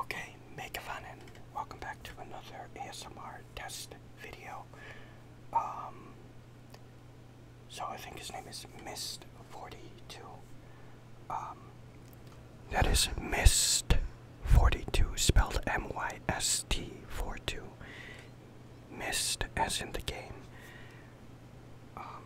Okay, make fun and welcome back to another ASMR test video. Um, so I think his name is Mist Forty Two. Um, that is Mist Forty Two, spelled M Y T Forty Two. Mist, as in the game. Um,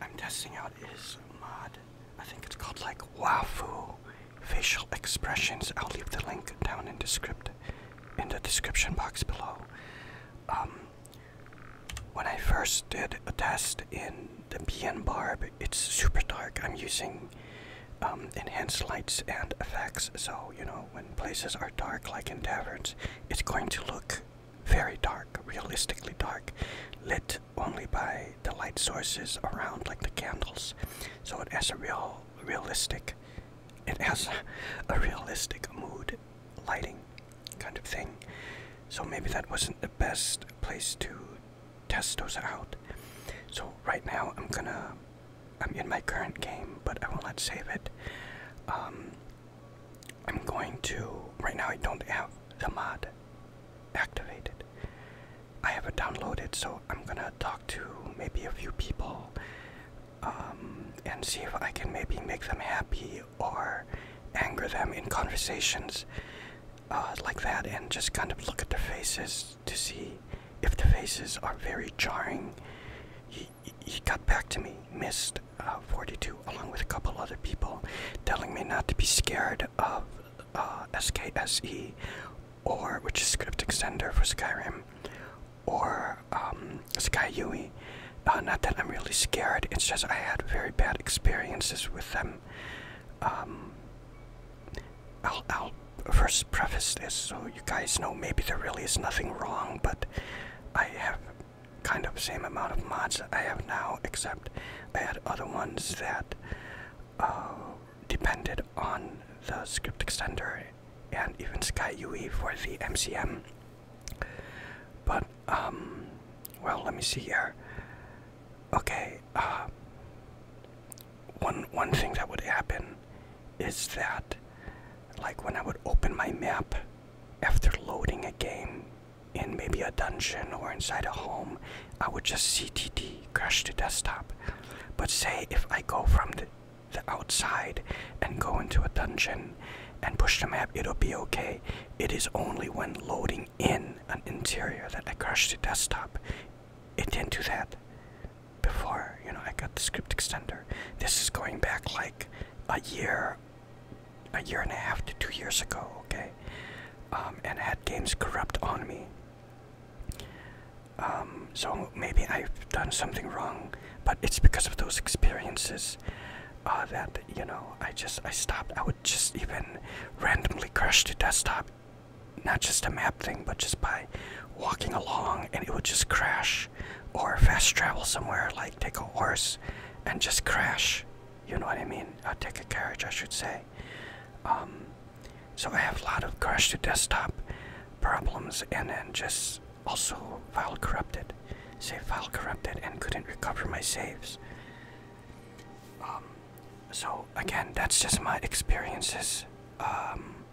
I'm testing out is mod. I think it's called like Wafu facial expressions. I'll leave the link down in the script, in the description box below. Um, when I first did a test in the Bien Barb, it's super dark. I'm using um, enhanced lights and effects, so you know when places are dark, like in taverns, it's going to look very dark, realistically dark, lit only by the light sources around, like the candles. So it has a real, realistic, it has a, realistic mood lighting kind of thing. So maybe that wasn't the best place to test those out. So right now I'm gonna, I'm in my current game, but I will not save it. Um, I'm going to right now I don't have the mod activated. I have it downloaded so I'm gonna talk to maybe a few people um, and see if I can maybe make them happy or anger them in conversations uh, like that and just kind of look at their faces to see if the faces are very jarring he, got back to me, missed uh, 42, along with a couple other people, telling me not to be scared of uh, SKSE, or which is script extender for Skyrim, or um, SkyUI. Uh, not that I'm really scared, it's just I had very bad experiences with them. Um, I'll first preface this so you guys know maybe there really is nothing wrong, but I have kind of same amount of mods I have now, except I had other ones that uh, depended on the script extender and even Sky for the MCM. But um, well, let me see here. Okay, uh, one one thing that would happen is that, like when I would open my map after loading a game in maybe a dungeon or inside a home, I would just CTD, crash the desktop. But say if I go from the, outside and go into a dungeon and push the map, it'll be okay. It is only when loading in an interior that I crash the desktop. It didn't do that before, you know, I got the script extender. This is going back like a year, a year and a half to two years ago, okay? Um, and had games corrupt on me. Um, so maybe I've done something wrong, but it's because of those experiences uh, that you know I just I stopped. I would just even randomly crash the desktop, not just a map thing, but just by walking along, and it would just crash or fast travel somewhere, like take a horse and just crash. You know what I mean? i take a carriage, I should say. Um, so I have a lot of crash to desktop problems and then just also file corrupted. Save file corrupted and couldn't recover my saves. Um, so again, that's just my experiences. Um,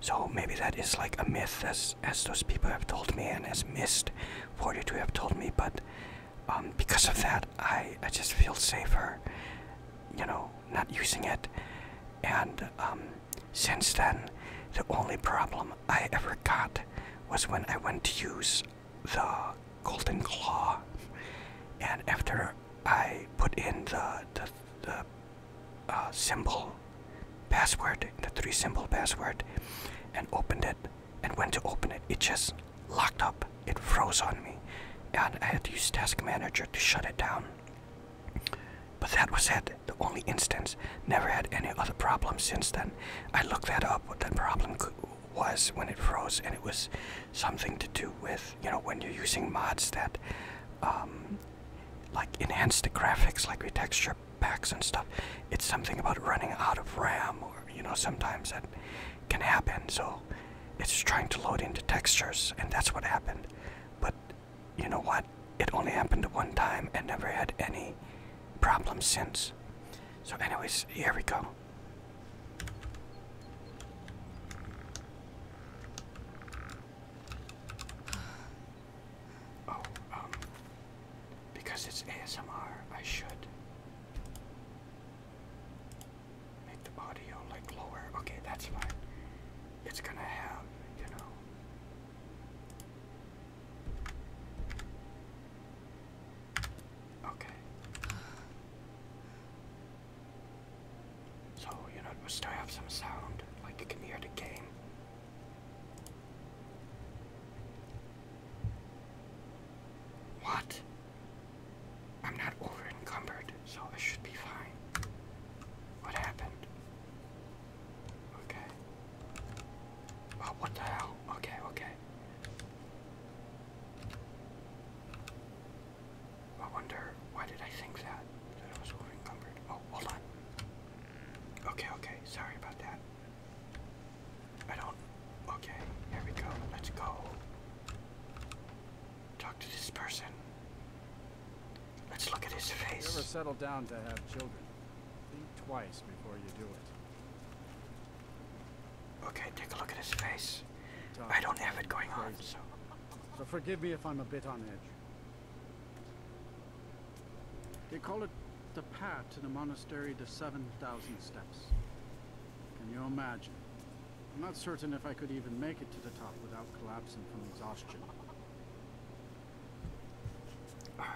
so maybe that is like a myth as as those people have told me and as Mist, 42 have told me but um, because of that I, I just feel safer you know not using it and um, since then the only problem I ever got was when I went to use the golden claw and after I put in the, the symbol password, the three symbol password, and opened it. And went to open it, it just locked up. It froze on me. And I had to use Task Manager to shut it down. But that was it, the only instance. Never had any other problems since then. I looked that up, what that problem was when it froze, and it was something to do with, you know, when you're using mods that um, like enhance the graphics like with texture packs and stuff it's something about running out of ram or you know sometimes that can happen so it's trying to load into textures and that's what happened but you know what it only happened one time and never had any problems since so anyways here we go Oh, um, because it's ASMR, I should make the audio like lower. Okay, that's fine. It's gonna have, you know. Okay. So, you know, it must have some sound, like you can hear the game. What? I'm not over encumbered, so I should be fine. What happened? Okay. Oh, what the hell? Okay, okay. I wonder why did I think that? That I was overencumbered. Oh, hold on. Okay, okay. Sorry about that. I don't. Okay, here we go. Let's go. Talk to this person. Let's look at his face. Never you settle down to have children, think twice before you do it. Okay, take a look at his face. I don't have it going on, so. So forgive me if I'm a bit on edge. They call it the path to the monastery, the 7,000 steps. Can you imagine? I'm not certain if I could even make it to the top without collapsing from exhaustion. Alright.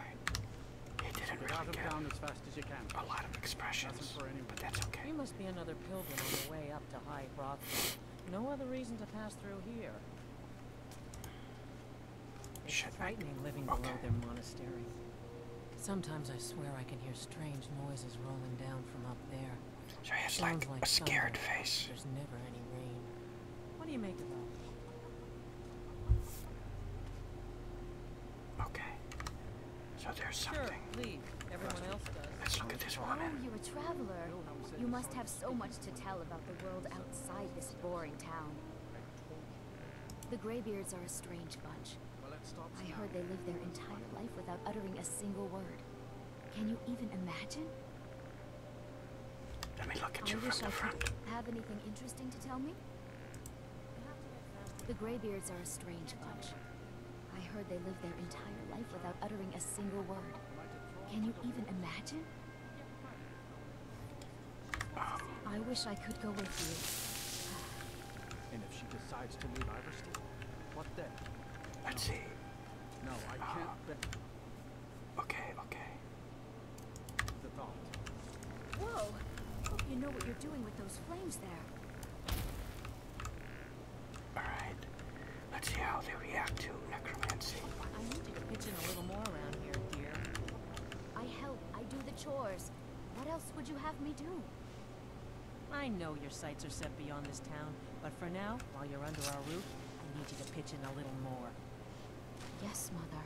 didn't really get down as fast as you can. a lot of expressions, that's okay. There must be another pilgrim on the way up to High Brothel. No other reason to pass through here. It's frightening living below their monastery. Sometimes I swear I can hear strange noises rolling down from up there. So he has like, a scared face. There's never any rain. What do you make of that? Okay. So there's something. Sure, leave. Everyone else Let's look at this woman. Oh, you're a traveler. You must have so much to tell about the world outside this boring town. The graybeards are a strange bunch. I heard they live their entire life without uttering a single word. Can you even imagine? Let me look at you from the front. Have anything interesting to tell me? The graybeards are a strange bunch. I heard they lived their entire life without uttering a single word. Can you even imagine? I wish I could go with you. And if she decides to leave Iverstein, what then? Let's see. No, I can't. Uh, okay, okay. Whoa! Hope you know what you're doing with those flames there. Alright. Let's see how they react to necromancy. I need your kitchen a little more around here, dear. I help. I do the chores. What else would you have me do? I know your sights are set beyond this town, but for now, while you're under our roof, I need you to pitch in a little more. Yes, Mother.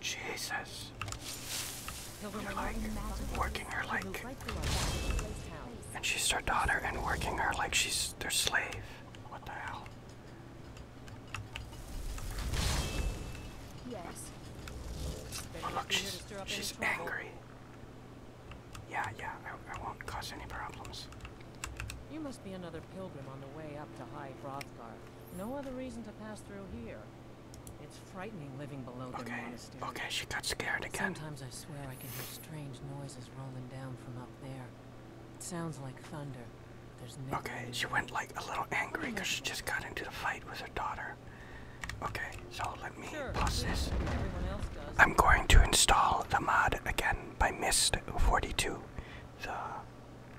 Jesus. working her like and She's their daughter and working her like she's their slave. What the hell? Yes. Oh look, she's, she's angry. Yeah, yeah, I, I won't cause any problems. You must be another pilgrim on the way up to High Brothgar. No other reason to pass through here. It's frightening living below the monastery. Okay, she got scared again. Sometimes I swear I can hear Strange noises rolling down from up there. It sounds like thunder. There's no Okay, she went like a little angry because she just got into the fight with her daughter. Okay, so let me pause this. I'm going to install the mod again by Mist 42. The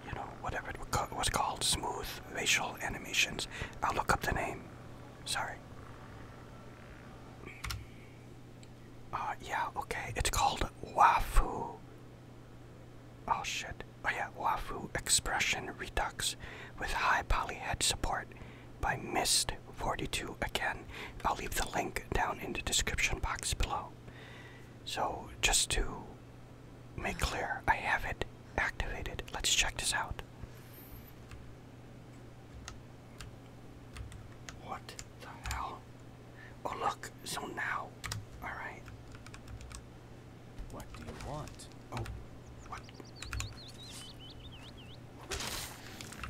you know, whatever it was called, smooth facial animations. I'll look up the name. Sorry. Uh, yeah, okay, it's called Wafu. Oh shit. Oh yeah, Wafu Expression Redux with high poly head support by Mist42 again. I'll leave the link down in the description box below. So, just to make clear, I have it activated. Let's check this out. What the hell? Oh, look, so now. Alright. What do you want? Oh, what?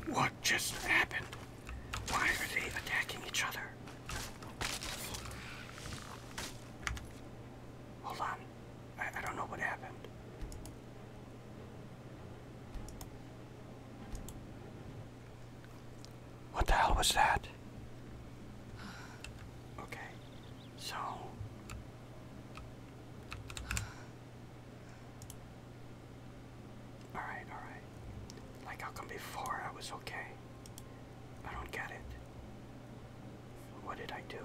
What just happened? Why are they attacking each other? Hold on. I, don't know what happened. What the hell was that? Okay, so. Alright, alright. Like, how come before I was okay? I don't get it. What did I do?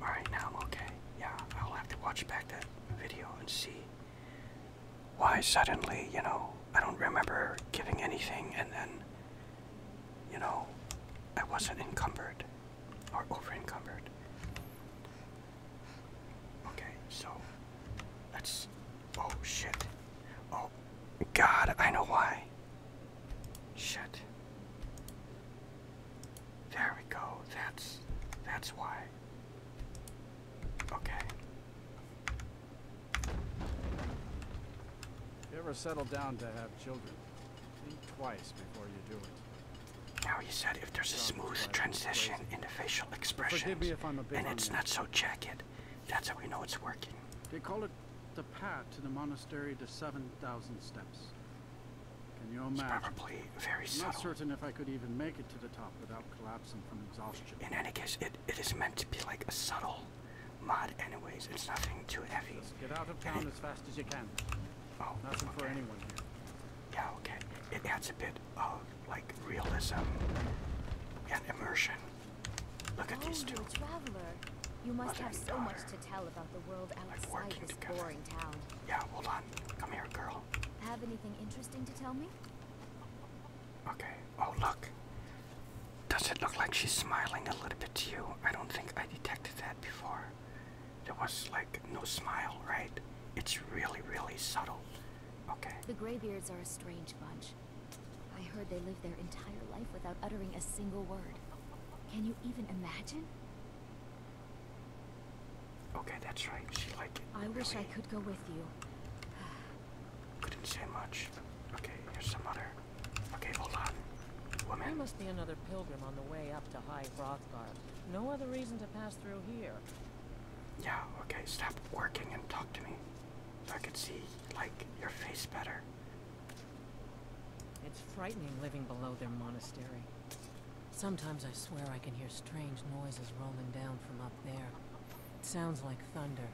Alright, now okay. Yeah, I'll have to watch back that video and see why suddenly, you know, I don't remember giving anything and then, you know, I wasn't encumbered or over encumbered. Okay, so let's. Oh shit. Oh god, I know why. Shit. There we go. That's that's why. Okay. If you ever settle down to have children, think twice before you do it. Now you said if there's a smooth transition into facial expressions, and it's not so jagged. That's how we know it's working. They call it the path to the monastery the 7,000 steps. Can you imagine? probably very subtle. I'm not certain if I could even make it to the top without collapsing from exhaustion. In any case, it, it is meant to be like a subtle mod anyways. It's nothing too heavy. get out of town as fast as you can. Oh, Nothing for anyone here. Yeah, okay. It adds a bit of like realism and immersion. Look at oh, these two. Traveler. You must have so much to tell about the world outside this boring town. Yeah, hold on. Come here, girl. Have anything interesting to tell me? Okay. Oh, look. Does it look like she's smiling a little bit to you? I don't think I detected that before. There was like no smile, right? It's really, really subtle. The graybeards are a strange bunch. I heard they live their entire life without uttering a single word. Can you even imagine? Okay, that's right. She like. I wish I could go with you. Couldn't say much. Okay, here's some other. Okay, hold on. Woman. There must be another pilgrim on the way up to High Broad. No other reason to pass through here. Yeah, okay, stop working and talk to me. So I could see, like, your face better. It's frightening living below their monastery. Sometimes I swear I can hear strange noises rolling down from up there. It sounds like thunder.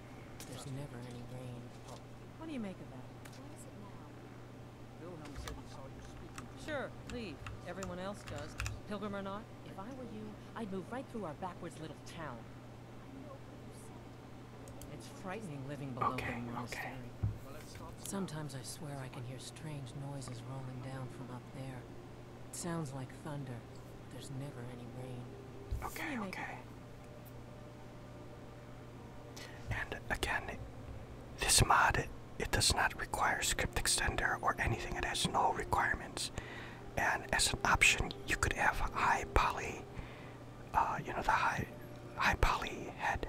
There's never any rain. What do you make of that? What is it now? Sure, leave. Everyone else does. Pilgrim or not? If I were you, I'd move right through our backwards little town. It's frightening living below the monastery. Sometimes I swear I can hear strange noises rolling down from up there. It sounds like thunder, but there's never any rain. Okay, okay. And again, this mod it does not require script extender or anything. It has no requirements. And as an option, you could have high poly, uh, you know, the high, high poly head.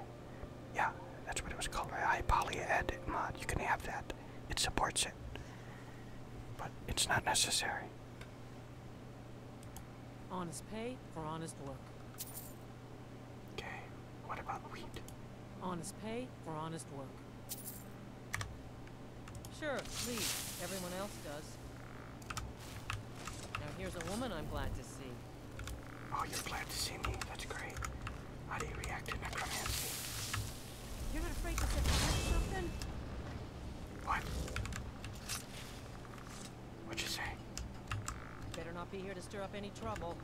Yeah, that's what it was called, right? High poly head mod. You can have that. It supports it. But it's not necessary. Honest pay for honest work. Okay, what about wheat? Honest pay for honest work. Sure, please. Everyone else does. Now here's a woman I'm glad to see. Oh, you're glad to see me. That's great. How do you react to necromancy? You're not afraid to set something? What? What'd you say? Better not be here to stir up any trouble.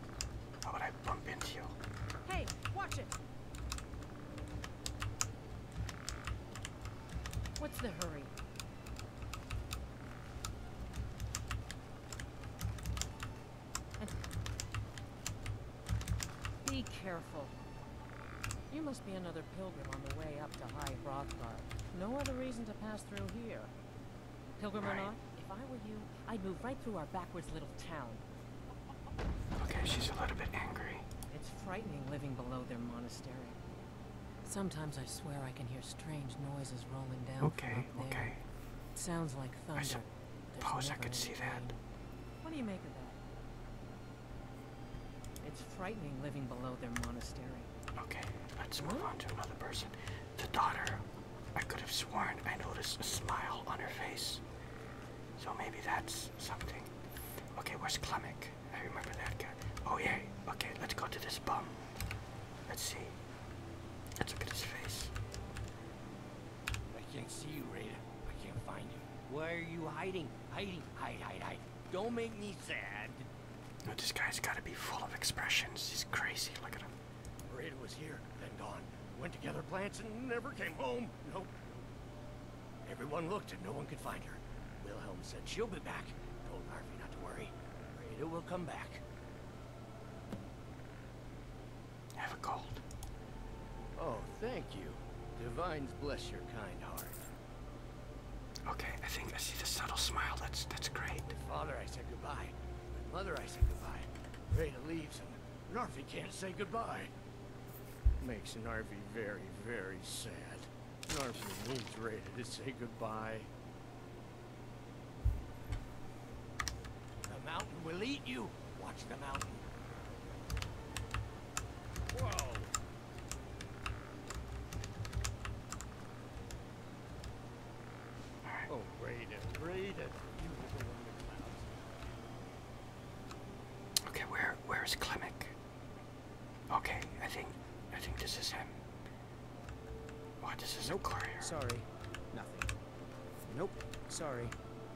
How would I bump into you? Hey, watch it! What's the hurry? Be careful. You must be another pilgrim on the way up to High Brothgar. No other reason to pass through here. Pilgrim or not, if I were you, I'd move right through our backwards little town. Okay, she's a little bit angry. It's frightening living below their monastery. Sometimes I swear I can hear strange noises rolling down. Okay, from up there. okay. sounds like thunder. I suppose I could see that. What do you make of that? It's frightening living below their monastery. Okay, let's move on to another person. The daughter I could have sworn I noticed a smile on her face. So maybe that's something. Okay, where's Klemic? I remember that guy. Oh yeah, okay, let's go to this bum. Let's see. Let's look at his face. I can't see you, Raiden. I can't find you. Why are you hiding? Hiding. Hide, hide, hide. Don't make me sad. this guy's gotta be full of expressions. He's crazy. Look at him. Burrito was here, then gone. Went to gather plants and never came home. Nope. Everyone looked and no one could find her. Wilhelm said she'll be back. Told Harvey not to worry. Burrito will come back. Have a cold. Oh, thank you. Divines bless your kind heart. Okay, I think I see the subtle smile. That's that's great. With father, I said goodbye. With mother, I said goodbye. Veda leaves and Narvi can't say goodbye. Makes Narvi very, very sad. Narvi needs Veda to say goodbye. The mountain will eat you. Watch the mountain. Whoa! Alright. Oh, Raiden, Raiden. You were the one in the clouds. Okay, where where's Klimek? Okay, I think I think this is him. What oh, this is a courier. Sorry. Nothing. Nope. Sorry.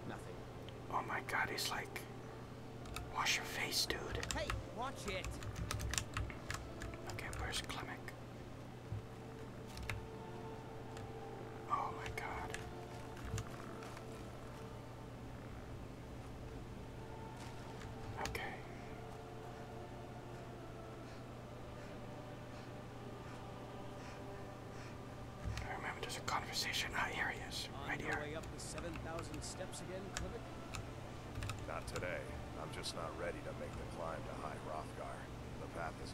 Nothing. Oh my god, he's like Wash your face, dude. Hey, watch it. Okay, where's Klimek? Oh my god. Okay. I remember there's a conversation. Ah, here he is, right here. Not today. I'm just not ready to make the climb to High Rothgar. The path is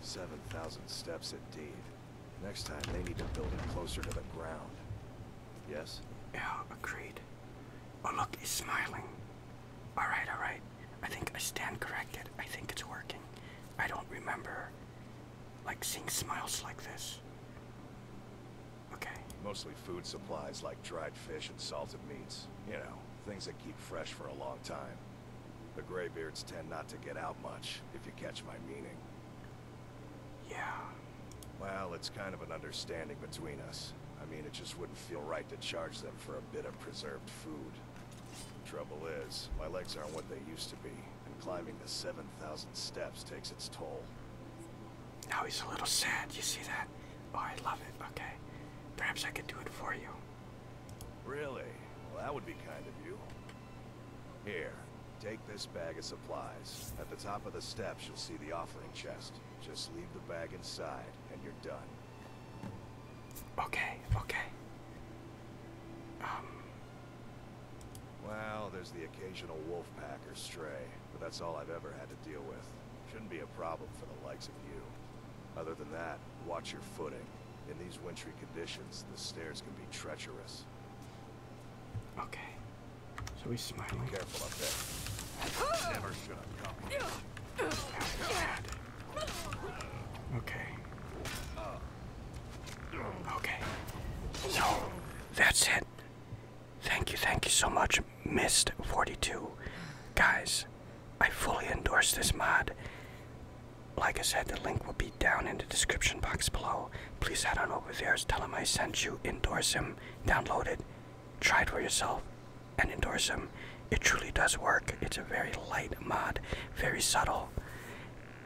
7,000 steps indeed. Next time they need to build it closer to the ground. Yes? Yeah, agreed. Oh look, he's smiling. Alright, alright. I think I stand corrected. I think it's working. I don't remember like seeing smiles like this. Okay. Mostly food supplies like dried fish and salted meats. You know, things that keep fresh for a long time. The graybeards tend not to get out much, if you catch my meaning. Yeah. Well, it's kind of an understanding between us. I mean, it just wouldn't feel right to charge them for a bit of preserved food. Trouble is, my legs aren't what they used to be, and climbing the 7,000 steps takes its toll. Now he's a little sad, you see that? Oh, I love it, okay. Perhaps I can do it for you. Really? Well, that would be kind of you. Here, take this bag of supplies. At the top of the steps, you'll see the offering chest. Just leave the bag inside, and you're done. Okay, okay. Um. Well, there's the occasional wolf pack or stray, but that's all I've ever had to deal with. Shouldn't be a problem for the likes of you. Other than that, watch your footing. In these wintry conditions, the stairs can be treacherous. Okay. So we smiling. Be careful up there. Never should okay. Okay. So, that's it. Thank you, thank you so much, Mist42. Guys, I fully endorse this mod. Like I said, the link will be down in the description box below. Please head on over there, tell him I sent you, endorse him, download it, try it for yourself, and endorse him. It truly does work. It's a very light mod, very subtle,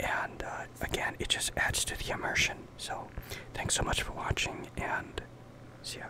and uh, again, it just adds to the immersion. So, thanks so much for watching, and see ya.